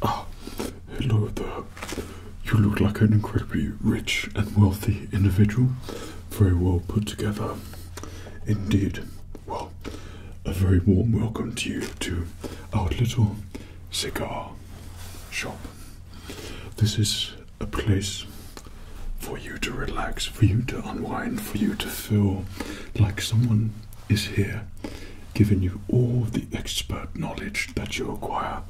Oh, hello there. You look like an incredibly rich and wealthy individual. Very well put together. Indeed. Well, a very warm welcome to you to our little cigar shop. This is a place for you to relax, for you to unwind, for you to feel like someone is here giving you all the expert knowledge that you acquire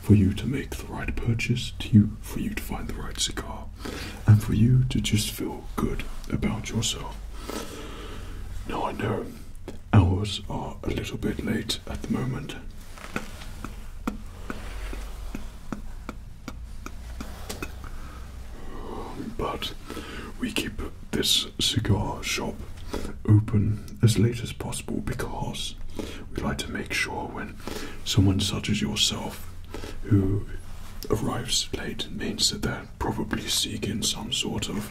for you to make the right purchase, to you, for you to find the right cigar, and for you to just feel good about yourself. Now I know hours are a little bit late at the moment. But we keep this cigar shop open as late as possible because we like to make sure when someone such as yourself who arrives late means that they're probably seeking some sort of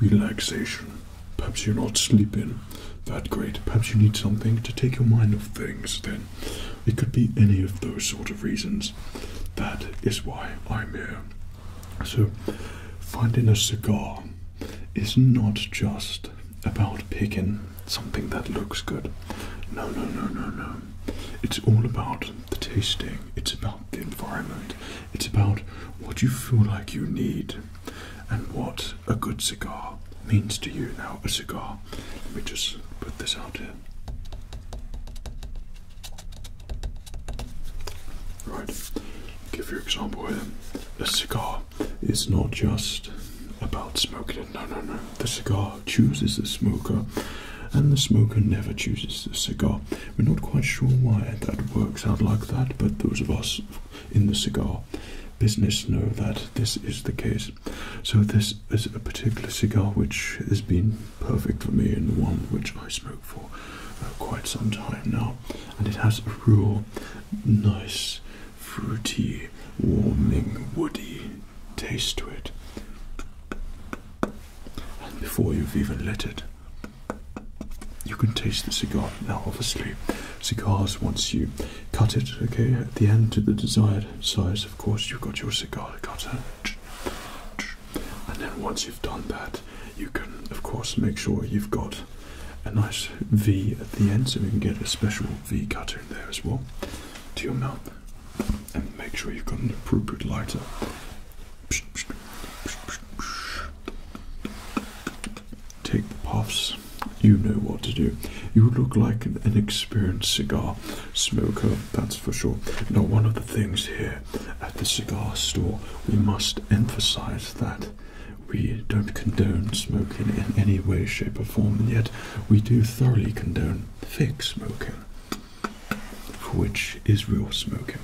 relaxation Perhaps you're not sleeping that great. Perhaps you need something to take your mind off things then. It could be any of those sort of reasons. That is why I'm here. So, finding a cigar is not just about picking something that looks good. No, no, no, no, no. It's all about the tasting, it's about the environment, it's about what you feel like you need and what a good cigar means to you. Now, a cigar, let me just put this out here. Right, give your example here. A cigar is not just about smoking No, no, no. The cigar chooses the smoker, and the smoker never chooses the cigar. We're not quite sure why that works out like that, but those of us, in the cigar business know that this is the case. So this is a particular cigar which has been perfect for me and one which I smoke for uh, quite some time now. And it has a real nice, fruity, warming, woody taste to it. And before you've even lit it, you can taste the cigar. Now, obviously, cigars, once you cut it, okay, at the end to the desired size, of course, you've got your cigar cutter. And then once you've done that, you can, of course, make sure you've got a nice V at the end so you can get a special V cutter in there as well to your mouth. And make sure you've got an appropriate lighter. Take the puffs. You know what to do. You look like an inexperienced cigar smoker, that's for sure. Now, one of the things here at the cigar store, we must emphasize that we don't condone smoking in any way, shape, or form, and yet we do thoroughly condone fake smoking, which is real smoking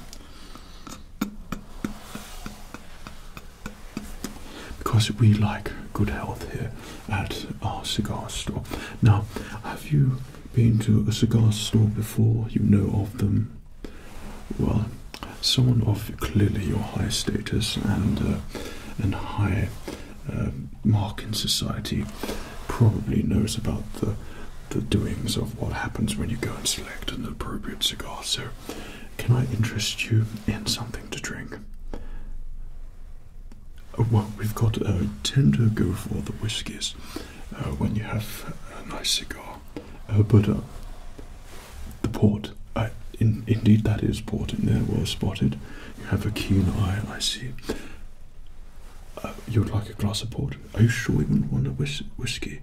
because we like good health here at our cigar store. Now, have you been to a cigar store before? You know of them? Well, someone of clearly your high status and uh, and high uh, mark in society probably knows about the the doings of what happens when you go and select an appropriate cigar. So can I interest you in something to drink? Uh, well, we've got a tender go for the whiskies uh, when you have a nice cigar, uh, but the port. indeed, that is port in there, well spotted. You have a keen eye, I see. you would like a glass of port? Are you sure you wouldn't want a whisky?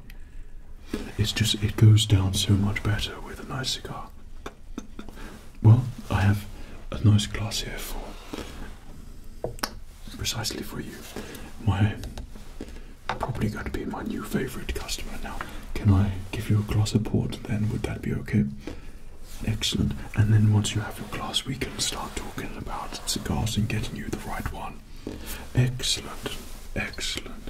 it's just it goes down so much better with a nice cigar. Well, I have a nice glass here for precisely for you. My probably going to be my new favorite customer now. Can I give you a glass of port then? Would that be okay? Excellent. And then once you have your glass, we can start talking about cigars and getting you the right one. Excellent. Excellent.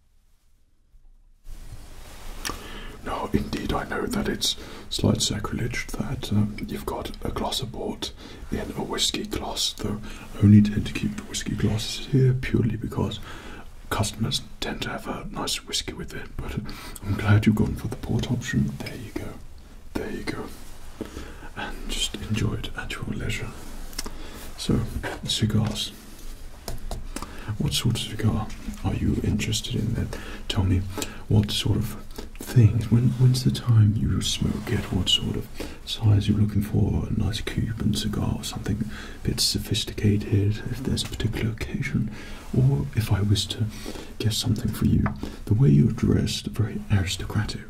No, indeed, I know that it's slight sacrilege that um, you've got a glass of port in a whiskey glass. though I only tend to keep the whiskey glasses here purely because customers tend to have a nice whiskey with it. But uh, I'm glad you've gone for the port option. There you go. There you go. And just enjoy it at your leisure. So, cigars what sort of cigar are you interested in then? Tell me what sort of thing. when, when's the time you smoke it? What sort of size you're looking for? A nice Cuban cigar or something a bit sophisticated if there's a particular occasion? Or if I was to guess something for you, the way you're dressed, very aristocratic.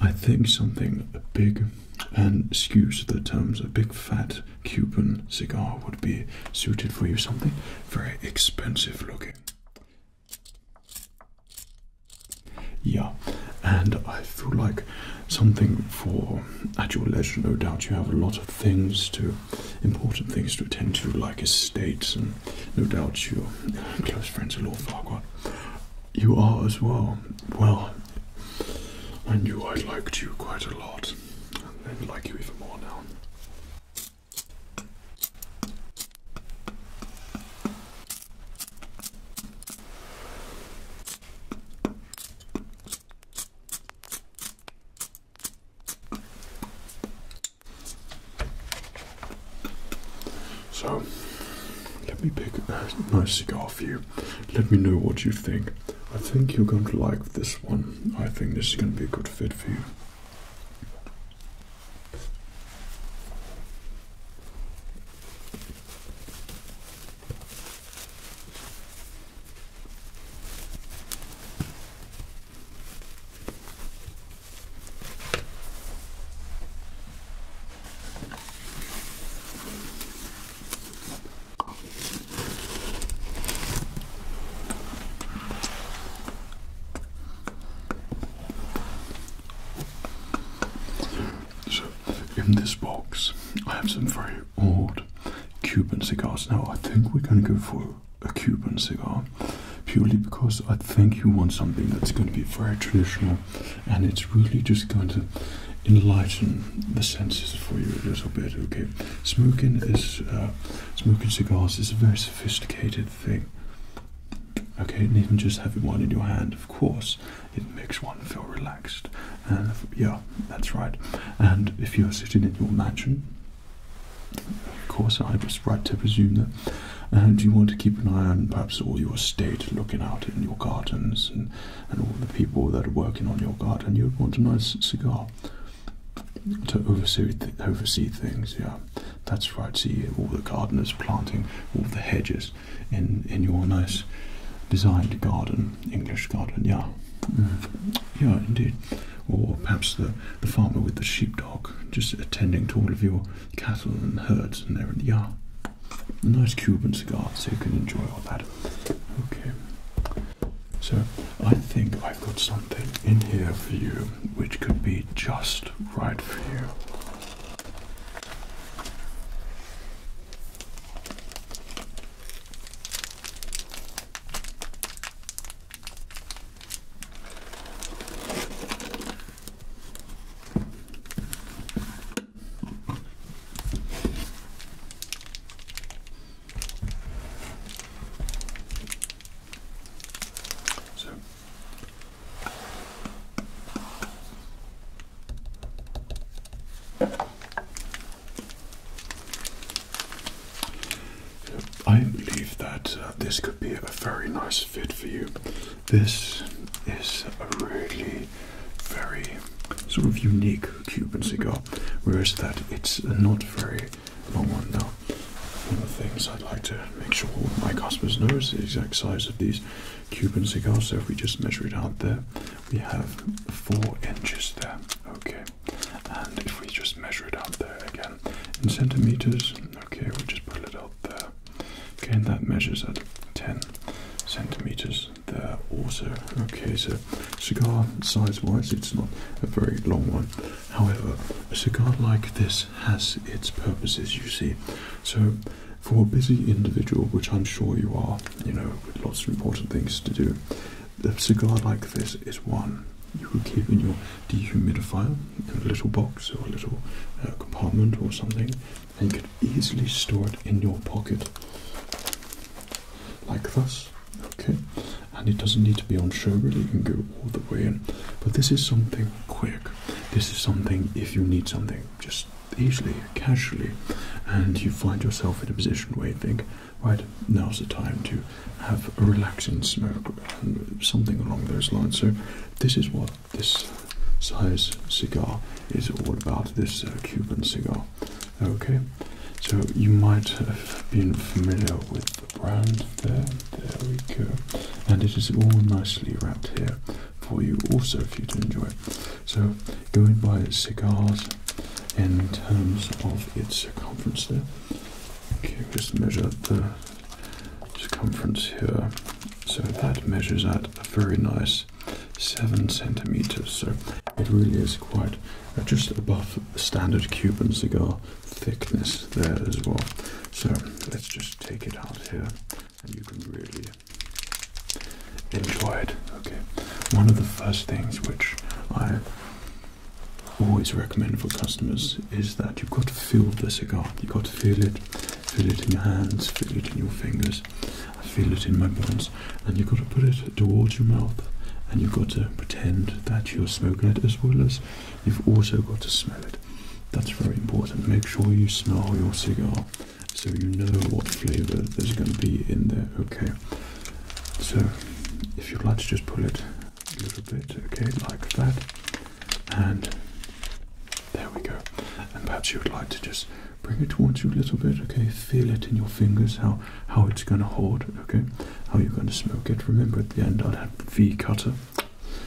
I think something big and excuse the terms a big fat Cuban cigar would be suited for you. Something very expensive looking. Yeah, and I feel like something for at your leisure. No doubt you have a lot of things to, important things to attend to, like estates, and no doubt your close friends are Lord Farquhar. You are as well. Well, I knew I liked you quite a lot this like you even more now. So, let me pick a nice cigar for you. Let me know what you think. I think you're going to like this one. I think this is going to be a good fit for you. So, in this box, I have some very old Cuban cigars. Now, I think we're going to go for a Cuban cigar purely because I think you want something that's going to be very traditional and it's really just going to enlighten the senses for you a little bit. Okay, smoking is uh, Smoking cigars is a very sophisticated thing. Okay, and even just having one in your hand, of course, it makes one feel relaxed. And yeah, that's right. And if you're sitting in your mansion, of course, I was right to presume that. And you want to keep an eye on perhaps all your estate, looking out in your gardens and, and all the people that are working on your garden. You'd want a nice cigar to oversee oversee things. Yeah, that's right. See all the gardeners planting all the hedges in in your nice designed garden, English garden. Yeah, mm-hmm. yeah, indeed. Or perhaps the the farmer with the sheepdog, just attending to all of your cattle and herds and the yard. nice Cuban cigar, so you can enjoy all that. Okay. So I think I've got something in here for you which could be just right for you. So I believe that uh, this could be a very nice fit for you. This is a really very sort of unique Cuban cigar, whereas that it's not very one more now. One of the things I'd like to make sure my customers know is the exact size of these Cuban cigars. So if we just measure it out there, we have four inches there. Okay. And if we just measure it out there again in centimeters, okay, we'll just put it out there. Okay, and that measures at 10 centimeters there also. Okay, so cigar size wise, it's not a very long one. However, a cigar like this has its purposes, you see. So, for a busy individual, which I'm sure you are, you know, with lots of important things to do, a cigar like this is one you would keep in your dehumidifier in a little box or a little uh, compartment or something, and you could easily store it in your pocket like thus. Okay, and it doesn't need to be on show really, you can go all the way in. But this is something quick. This is something if you need something just easily, casually, and you find yourself in a position where you think, right, now's the time to have a relaxing smoke and something along those lines. So this is what this size cigar is all about, this uh, Cuban cigar. Okay, so you might have been familiar with the brand there. There we go. And it is all nicely wrapped here for you also for you to enjoy. So going by cigars in terms of its circumference there. Okay, just measure the circumference here. So that measures at a very nice seven centimeters. So it really is quite uh, just above standard Cuban cigar thickness there as well. So let's just take it out here and you can really enjoy it. Okay, one of the first things which I always recommend for customers is that you've got to feel the cigar. You've got to feel it, feel it in your hands, feel it in your fingers. I feel it in my bones. And you've got to put it towards your mouth and you've got to pretend that you're smoking it as well as you've also got to smell it. That's very important. Make sure you smell your cigar so you know what flavor there's going to be in there, okay? So, if you'd like to just pull it a little bit, okay, like that, and there we go. And perhaps you would like to just bring it towards you a little bit, okay? Feel it in your fingers how how it's going to hold, okay? how you're going to smoke it. Remember at the end I'd have the V cutter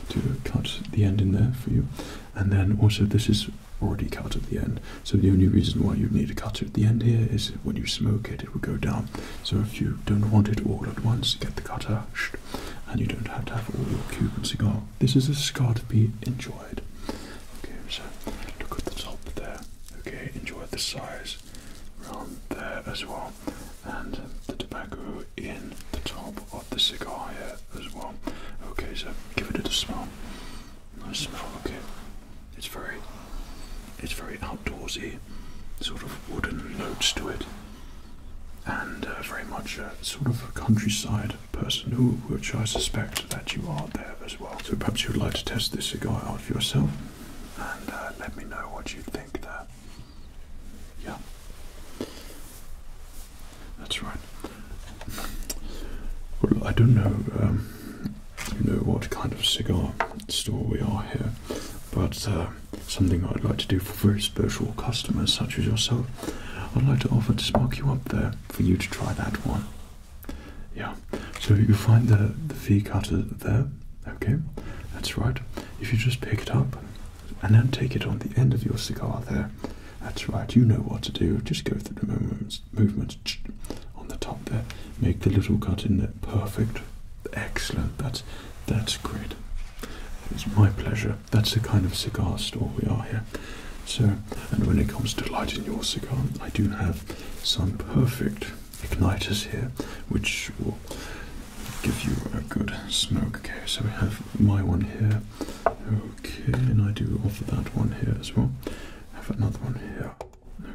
to cut the end in there for you. And then also this is already cut at the end. So the only reason why you need a cutter at the end here is when you smoke it, it will go down. So if you don't want it all at once, get the cutter and you don't have to have all your Cuban cigar. This is a cigar to be enjoyed. Okay, so look at the top there. Okay, enjoy the size leaves around there as well, and the tobacco in the top of the cigar here as well. Okay, so give it a smell. Nice smell. Okay, it's very, it's very outdoorsy, sort of wooden notes to it, and uh, very much a sort of countryside person, who, which I suspect that you are there as well. So perhaps you'd like to test this cigar out for yourself, and uh, let me know what you think there. Yeah. That's right. Well, I don't know, um, you know what kind of cigar store we are here, but uh, something I'd like to do for very special customers such as yourself, I'd like to offer to spark you up there for you to try that one. Yeah. So you find the the fee cutter there. Okay, that's right. If you just pick it up and then take it on the end of your cigar there, that's right. You know what to do. Just go through the movements, on the top there. Make the little cut in there. Perfect. Excellent. That's that's great. It's my pleasure. That's the kind of cigar store we are here. So, and when it comes to lighting your cigar, I do have some perfect igniters here, which will give you a good smoke. Okay, so we have my one here. Okay, and I do offer that one here as well. I have another one here.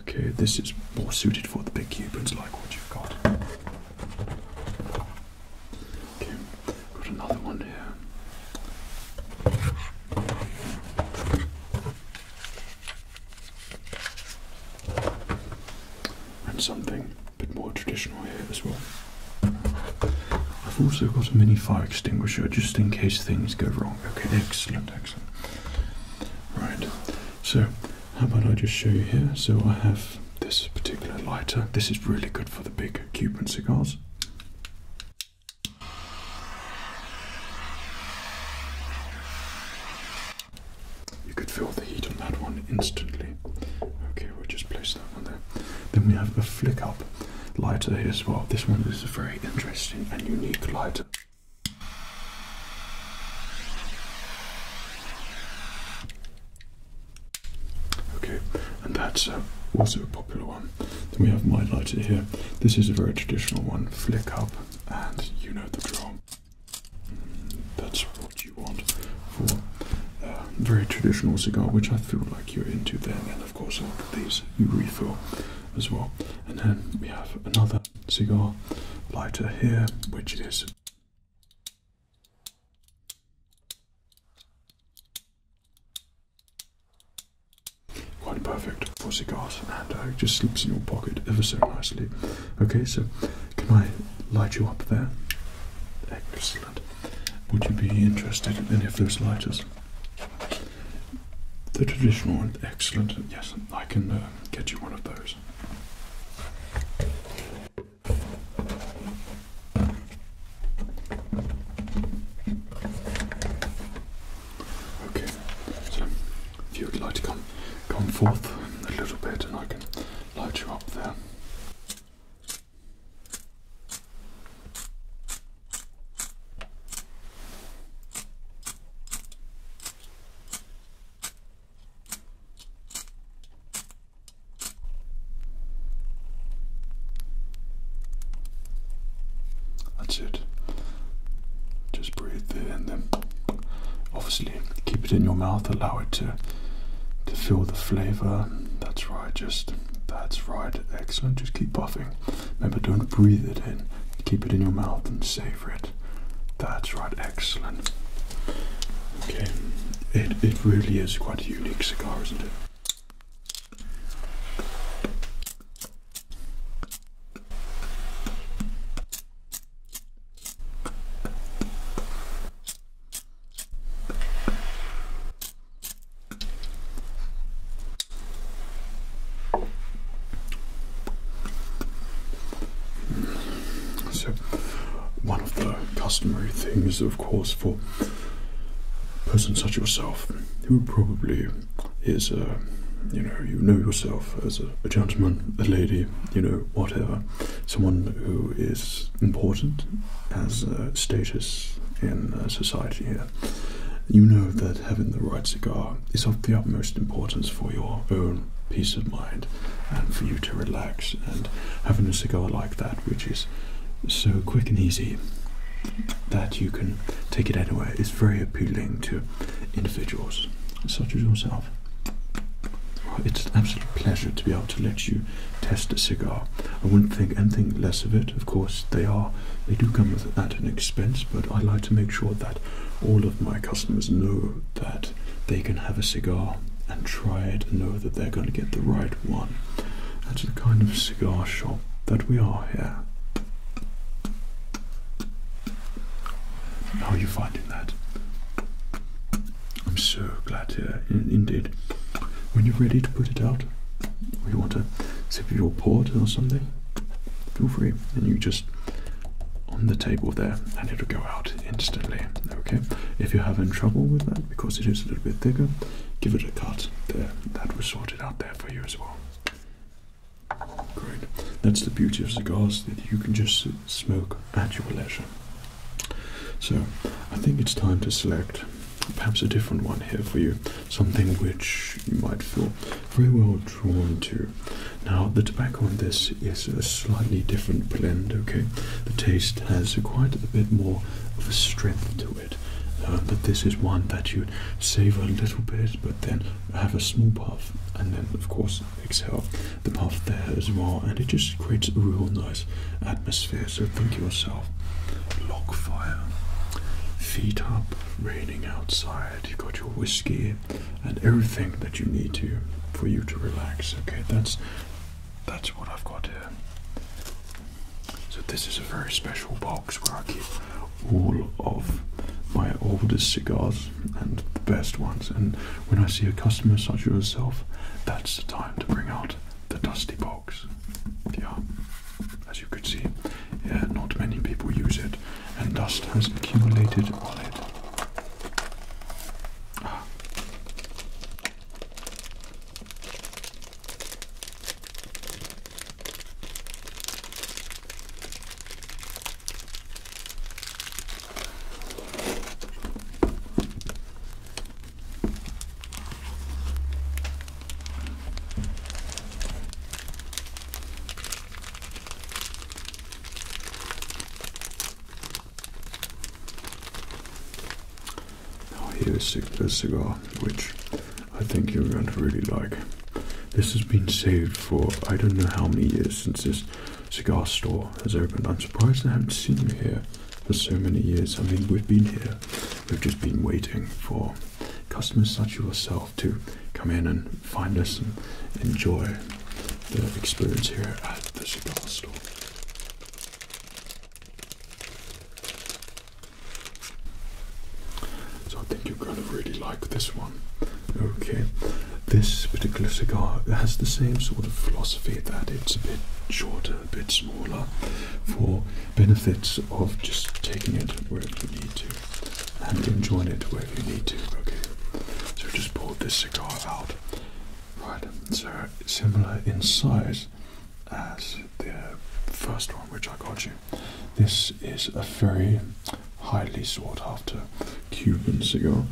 Okay, this is more suited for the big Cubans like what you've got. Okay, got another one here. And something a bit more traditional here as well. I've also got a mini fire extinguisher just in case things go wrong. Okay, excellent, excellent. Right, so how about I just show you here? So I have this particular lighter. This is really good for the big Cuban cigars. You could feel the heat on that one instantly. Okay, we'll just place that one there. Then we have a flick up lighter here as well. This one is a very interesting and unique lighter. Okay, and that's uh, also a popular one. Then we have my lighter here. This is a very traditional one. Flick up, and you know the drill. That's what you want for a uh, very traditional cigar, which I feel like you're into then. And of course, all of these, you refill as well. And then we have another cigar lighter here, which is. Quite perfect for cigars and uh, just slips in your pocket ever so nicely. Okay, so can I light you up there? Excellent. Would you be interested in any of those lighters? The traditional one, excellent. Yes, I can uh, get you one of those. Okay, if you would like to come, come forth a little bit and I can load you up there. That's it. Just breathe in and then off Keep it in your mouth, allow it to to feel the flavor. That's right, just that's right. Excellent. Just keep puffing. Remember, don't breathe it in. Keep it in your mouth and savor it. That's right, excellent. Okay. It it really is quite a unique cigar, isn't it? So, one of the customary things, of course, for a person such as yourself, who probably is a you know, you know yourself as a gentleman, a lady, you know, whatever, someone who is important has status in uh, society here, you know that having the right cigar is of the utmost importance for your own peace of mind and for you to relax. And having a cigar like that, which is so quick and easy that you can take it anywhere, is very appealing to individuals such as yourself. It's an absolute pleasure to be able to let you test a cigar. I wouldn't think anything less of it. Of course, they are they do come at an expense, but I like to make sure that all of my customers know that they can have a cigar and try it and know that they're going to get the right one. That's the kind of cigar shop that we are here. How are you finding that? I'm so glad indeed. When you're ready to put it out, or you want to sip your port or something, feel free. And you just on the table there, and it'll go out instantly. Okay. If you're having trouble with that because it is a little bit thicker, give it a cut. There, that was sorted out there for you as well. Great. That's the beauty of cigars that you can just smoke at your leisure. So, I think it's time to select perhaps a different one here for you, something which you might feel very well drawn to. Now, the tobacco on this is a slightly different blend, okay? The taste has quite a bit more of a strength to it, uh, but this is one that you'd savor a little bit, but then have a small puff, and then, of course, exhale the puff there as well, and it just creates a real nice atmosphere. So think yourself, log fire, feet up, raining outside. You've got your whiskey and everything that you need to for you to relax. Okay, that's that's what I've got here. So this is a very special box where I keep all of my oldest cigars and the best ones. And when I see a customer such as yourself, that's the time to bring out the dusty box. Yeah, as you could see, not many people use it, and dust has accumulated on it. Now here's a, a cigar which I think you're going to really like. This has been saved for I don't know how many years since this cigar store has opened. I'm surprised I haven't seen you here for so many years. I mean, we've been here, we've just been waiting for customers such as yourself to come in and find us and enjoy the experience here at the cigar store. So I think you're going to really like this one. Okay, this particular cigar has the same sort of philosophy that it's a bit shorter, a bit smaller, for benefits of just taking it wherever you need to and enjoying it wherever you need to. Okay, so just pull this cigar out. Right, so similar in size as the first one which I got you. This is a very highly sought after Cuban cigar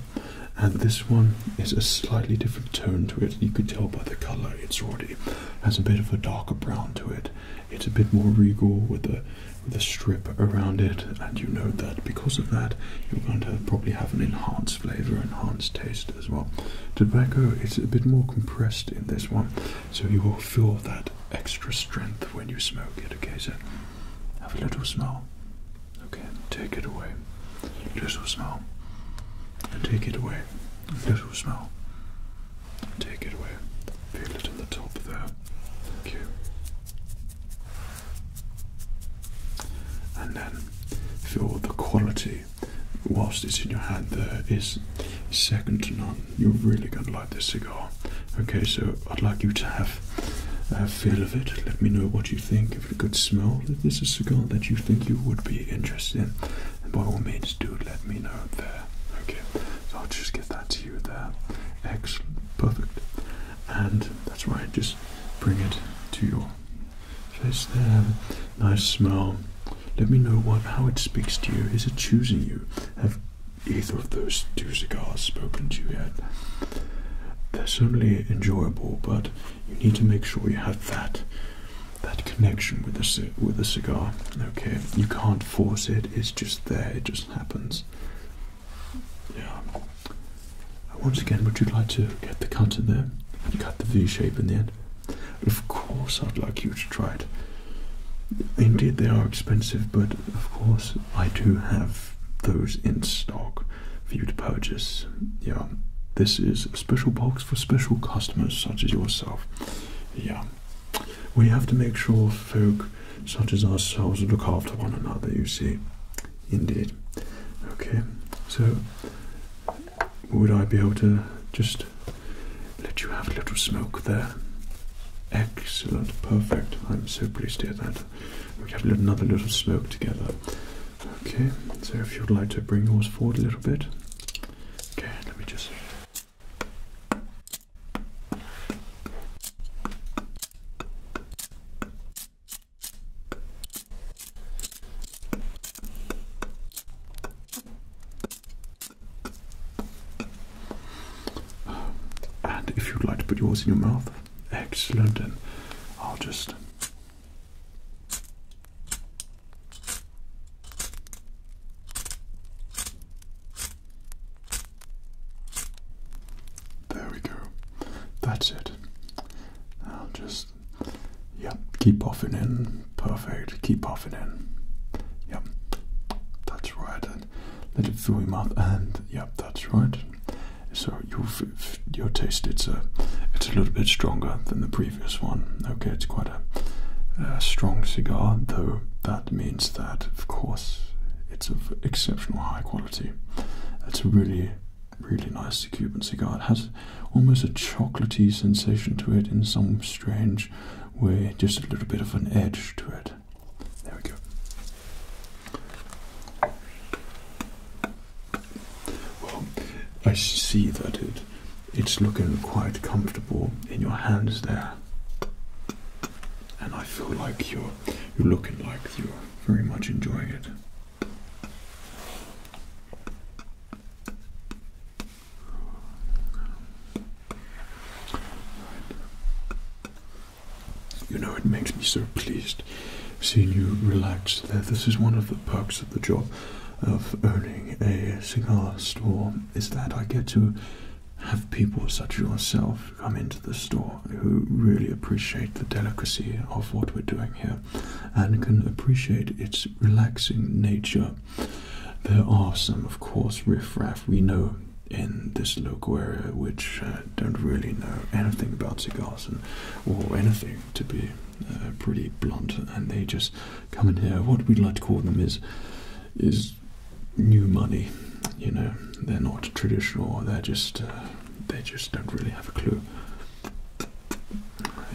and this one is a slightly different tone to it. You could tell by the colour it's already has a bit of a darker brown to it. It's a bit more regal with the with a strip around it, and you know that because of that you're going to probably have an enhanced flavour, enhanced taste as well. Tobacco is a bit more compressed in this one, so you will feel that extra strength when you smoke it, okay? So have a little smell. Okay, take it away. Just a smell. Take it away. Just a smell. Take it away. Feel it in the top there. Thank you. And then feel the quality whilst it's in your hand there is second to none. You're really gonna like this cigar. Okay, so I'd like you to have a feel of it. Let me know what you think a good smell. this is a cigar that you think you would be interested in, by all means, do let me know there. Okay, so I'll just get that to you there. Excellent, perfect. And that's why I just bring it to your face there. Nice smell. Let me know what how it speaks to you. Is it choosing you? Have either of those two cigars spoken to you yet? They're certainly enjoyable, but you need to make sure you have that that connection with the with the cigar. Okay, you can't force it. It's just there. It just happens. Yeah. Once again, would you like to get the cut in there and cut the V shape in the end? Of course, I'd like you to try it. Indeed, they are expensive, but of course, I do have those in stock for you to purchase. Yeah, this is a special box for special customers such as yourself. Yeah, we have to make sure folk such as ourselves look after one another, you see. Indeed. Okay, so would I be able to just let you have a little smoke there? Excellent, perfect. I'm so pleased to hear that. We have another little smoke together. Okay, so if you'd like to bring yours forward a little bit. Okay, let me just. And if you'd like to put yours in your mouth, excellent. And I'll just there we go. That's it. Now just, yep, keep puffing in. Perfect. Keep puffing in. Yep, that's right. let it through your mouth. And yep, that's right. So you've, your taste it's a, it's a little bit stronger than the previous previous one. Okay, it's quite a, strong cigar, though that means that, of course, it's of exceptional high quality. It's a really, really nice Cuban cigar. It has almost a chocolaty sensation to it in some strange way, just a little bit of an edge to it. There we go. Well, I see that it it's looking quite comfortable in your hands there. And I feel like you're you're looking like you're very much enjoying it. You know, it makes me so pleased seeing you relax there. This is one of the perks of the job of owning a cigar store is that I get to have people such as yourself come into the store who really appreciate the delicacy of what we're doing here and can appreciate its relaxing nature. There are some, of course, riff raff we know in this local area which uh, don't really know anything about cigars and, or anything to be uh, pretty blunt, and they just come in here. What we would like to call them is is new money. You know, they're not traditional. they just uh, they just don't really have a clue.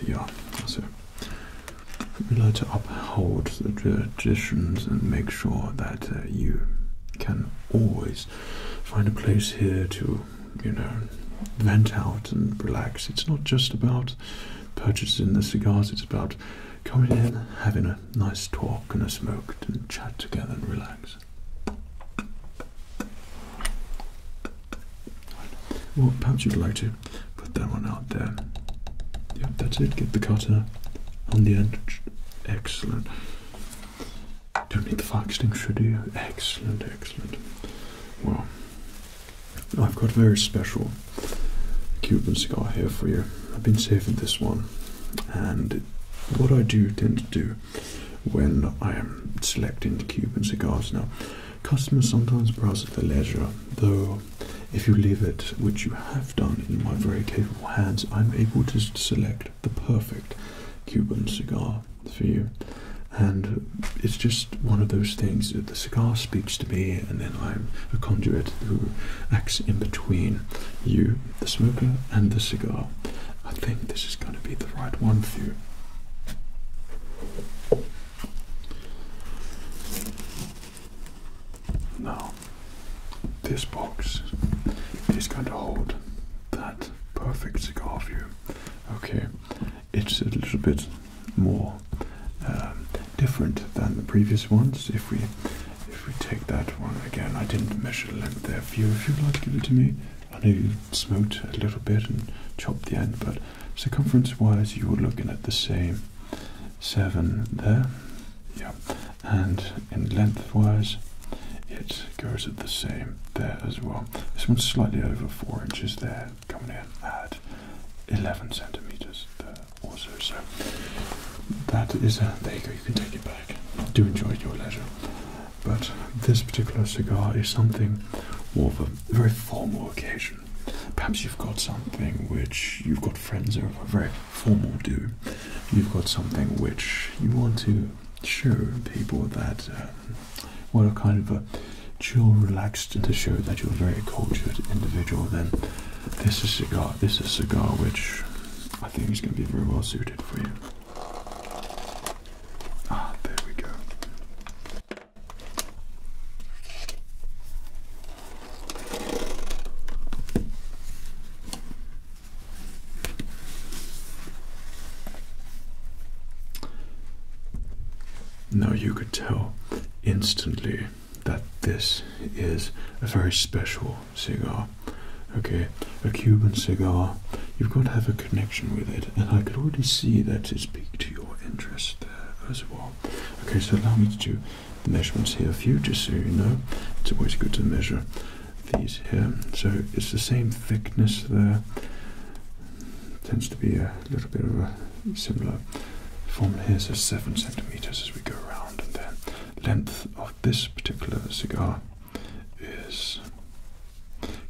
Yeah, so we would like to uphold the traditions and make sure that uh, you can always find a place here to you know, vent out and relax. It's not just about purchasing the cigars, it's about coming in, having a nice talk and a smoke and chat together and relax. Well, perhaps you'd like to put that one out there. Yep, that's it. Get the cutter on the end. Excellent. Don't need the fire extinguisher, you? Excellent, excellent. Well, I've got a very special Cuban cigar here for you. I've been saving this one, and what I do tend to do when I am selecting Cuban cigars now, customers sometimes browse at their leisure, though if you leave it, which you have done in my very capable hands, I'm able to select the perfect Cuban cigar for you. And it's just one of those things that the cigar speaks to me, and then I'm a conduit who acts in between you, the smoker, and the cigar. I think this is going to be the right one for you. Now, this box is going to hold that perfect cigar for you. Okay, it's a little bit more um, different than the previous ones. If we if we take that one again, I didn't measure length there you. If you'd like to give it to me, I know you smote a little bit and chopped the end, but circumference-wise, you were looking at the same seven there. Yeah, and in length-wise, it goes at the same there as well. This one's slightly over four inches there, coming in at 11 centimeters there also. So that is a, there you go, you can take it back. Do enjoy your leisure. But this particular cigar is something for a very formal occasion. Perhaps you've got something which you've got friends who are very formal do. You've got something which you want to show people that um, what well, kind of a chill, relaxed to show that you're a very cultured individual, then this is cigar. This is cigar which I think is going to be very well suited for you. Ah, there we go. Now you could tell instantly that this is a very special cigar. Okay, a Cuban cigar. You've got to have a connection with it, and I could already see that it's piqued to your interest there as well. Okay, so allow me to measurements here for you, just so you know. It's always good to measure these here. So it's the same thickness there, tends to be a little bit of a similar form here, so 7 centimeters as we go around, and then length of this particular cigar is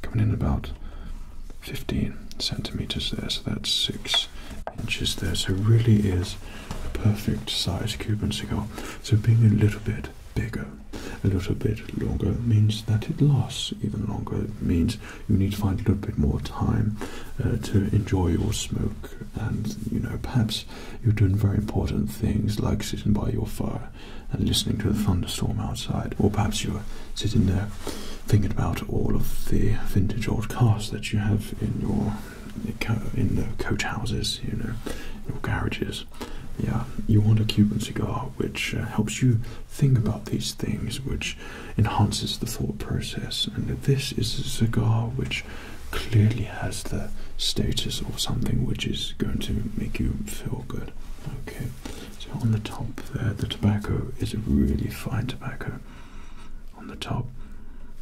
coming in about 15 centimeters there, so that's 6 inches there, so really is a perfect size Cuban cigar. So being a little bit bigger, a little bit longer means that it lasts even longer. means you need to find a little bit more time uh, to enjoy your smoke and you know perhaps you're doing very important things like sitting by your fire and listening to the thunderstorm outside or perhaps you're sitting there thinking about all of the vintage old cars that you have in your in the coach houses you know your garages yeah you want a cuban cigar which uh, helps you think about these things which enhances the thought process. And this is a cigar which clearly has the status of something which is going to make you feel good. Okay, so on the top there, the tobacco is a really fine tobacco on the top.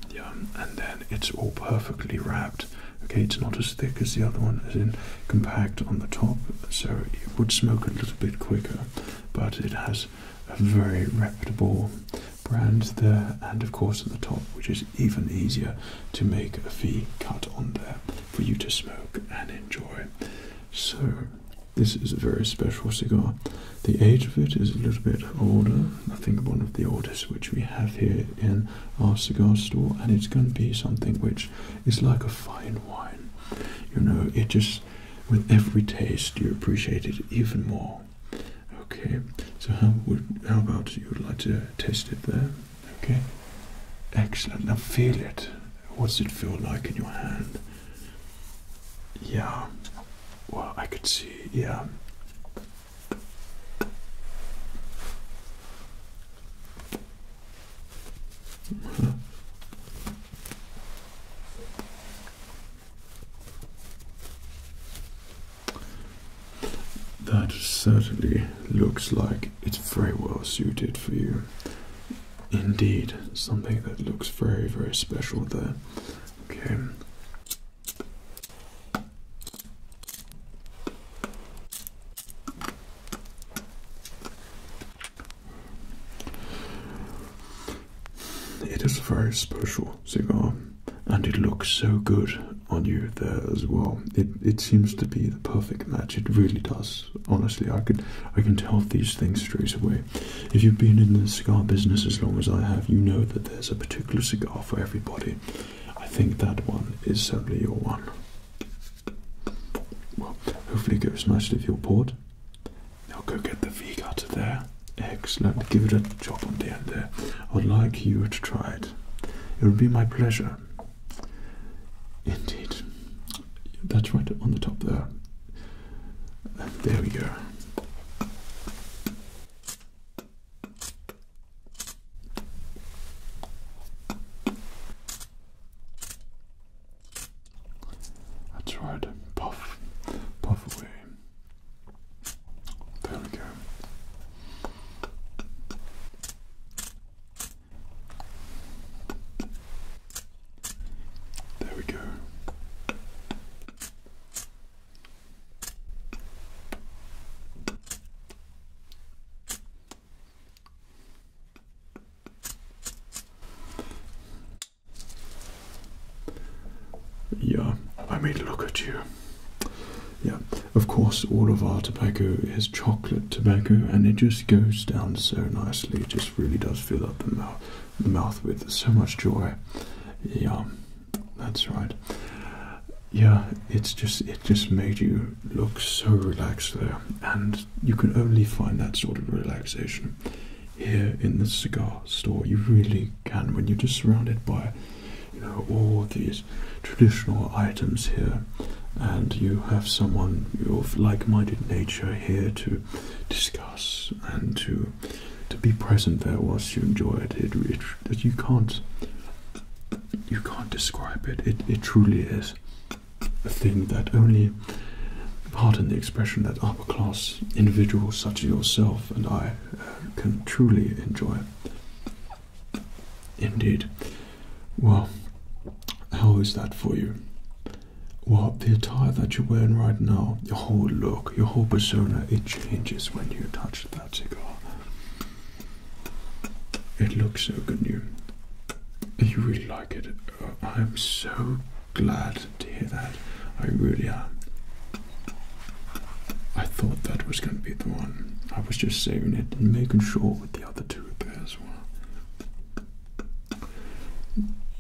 Yeah, and then it's all perfectly wrapped. Okay, it's not as thick as the other one, as in compact on the top, so it would smoke a little bit quicker, but it has a very reputable brand there and of course at the top which is even easier to make a fee cut on there for you to smoke and enjoy so this is a very special cigar the age of it is a little bit older i think one of the oldest which we have here in our cigar store and it's going to be something which is like a fine wine you know it just with every taste you appreciate it even more. Okay, so how would how about you would like to taste it there? Okay, excellent. Now feel it. What does it feel like in your hand? Yeah. Well, I could see. Yeah. That certainly looks like it's very well suited for you. Indeed, something that looks very, very special there. Okay. It is a very special cigar and it looks so good on you there as well. It it seems to be the perfect match. It really does. Honestly, I could I can tell these things straight away. If you've been in the cigar business as long as I have, you know that there's a particular cigar for everybody. I think that one is certainly your one. Well, hopefully it goes nicely with your port. Now go get the V cutter there. Excellent. Give it a chop on the end there. I'd like you to try it. It would be my pleasure. Indeed. That's right on the top there. there we go. That's right. Puff. Puff away. There we go. There we go. Yeah, I mean, look at you. Yeah, of course, all of our tobacco is chocolate tobacco, and it just goes down so nicely. It just really does fill up the mouth, the mouth with so much joy. Yeah, that's right. Yeah, it's just it just made you look so relaxed there, and you can only find that sort of relaxation here in the cigar store. You really can when you're just surrounded by, you know, all these traditional items here, and you have someone of like-minded nature here to discuss and to to be present there whilst you enjoy it. It, it, you can't you can't describe it. It it truly is a thing that only we pardon the expression that upper class individuals such as yourself and I uh, can truly enjoy. Indeed. Well, how is that for you? Well, the attire that you're wearing right now, your whole look, your whole persona, it changes when you touch that cigar. It looks so good, you. You really like it. I'm so glad to hear that. I really am. Uh, I thought that was going to be the one. I was just saving it and making sure with the other two repairs were.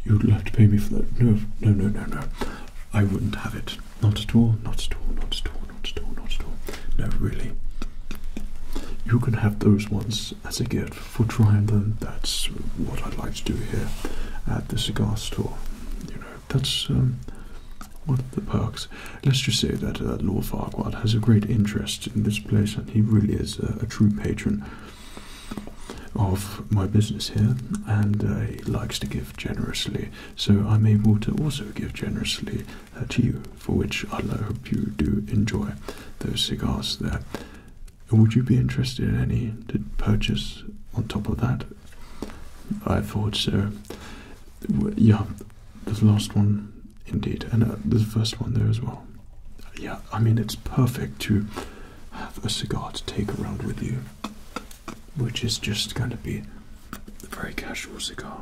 You'd have to pay me for that. No, no, no, no, no. I wouldn't have it. Not at all, not at all, not at all, not at all, not at all. No, really. You can have those ones as a gift for trying them. That's what I'd like to do here at the cigar that's um, what the perks. Let's just say that uh, Lord Farquhar has a great interest in this place, and he really is a, true patron of my business here, and uh, he likes to give generously. So I'm able to also give generously uh, to you, for which I uh, hope you do enjoy those cigars there. Would you be interested in any to purchase on top of that? I thought so. Yeah, the last one indeed, and uh, the first one there as well. Yeah, I mean, it's perfect to have a cigar to take around with you, which is just going to be a very casual cigar.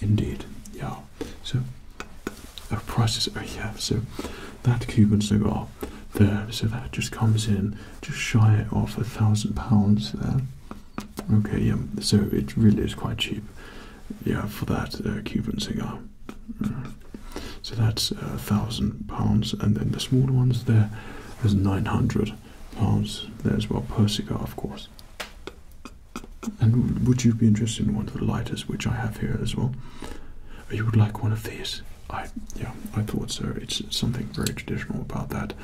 Indeed, yeah. So, our uh, prices, uh, yeah, so that Cuban cigar there, so that just comes in just shy of a thousand pounds there. Okay, yeah, so it really is quite cheap, yeah, for that uh, Cuban cigar. Mm. So that's uh, a thousand pounds, and then the smaller ones there, there is nine hundred pounds there as well per cigar, of course. And would you be interested in one of the lighters which I have here as well? You would like one of these? I yeah, I thought so. It's something very traditional about that,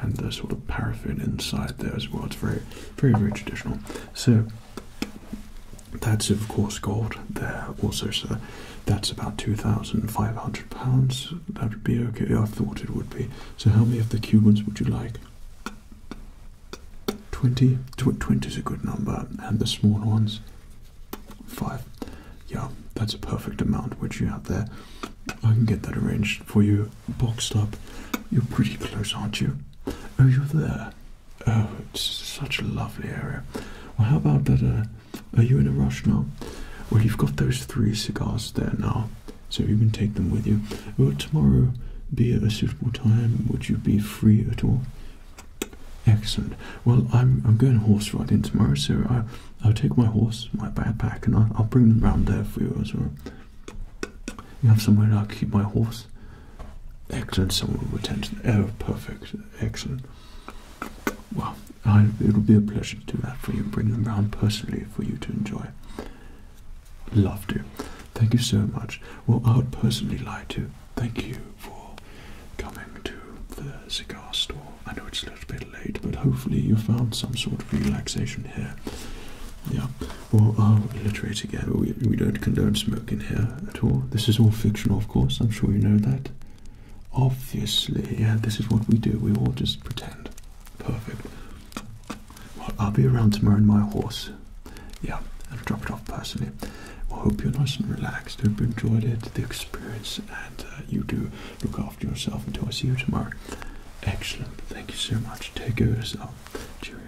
and the sort of paraffin inside there as well. It's very, very, very traditional. So that's of course gold there also. So that's about two thousand five hundred pounds. That would be okay. I thought it would be. So how many of the Cubans would you like? 20? 20 is a good number, and the small ones. Five. Yeah, that's a perfect amount which you have there. I can get that arranged for you, boxed up. You're pretty close, aren't you? Oh, you're there. Oh, it's such a lovely area. Well, how about that? Uh, are you in a rush now? Well, you've got those three cigars there now, so you can take them with you. Would tomorrow be a suitable time? Would you be free at all? Excellent. Well, I'm, I'm going horse riding tomorrow, so I, I'll take my horse, my backpack, and I'll, bring them round there for you as well. You have somewhere to keep my horse. Excellent, someone will attend to them. Oh, perfect. Excellent. Well, it'll be a pleasure to do that for you and bring them round personally for you to enjoy. Love to. Thank you so much. Well, I would personally like to thank you for coming to the cigar store. I know it's a little bit late, but hopefully you found some sort of relaxation here. Yeah, well, I'll reiterate again, we, we don't condone smoking here at all. This is all fictional, of course, I'm sure you know that. Obviously, yeah, this is what we do, we all just pretend. Perfect. Well, I'll be around tomorrow in my horse. Yeah, And will drop it off personally. I hope you're nice and relaxed, hope you enjoyed it, the experience, and uh, you do Look after yourself until I see you tomorrow. Excellent. Thank you so much. Take care of yourself. Cheerio.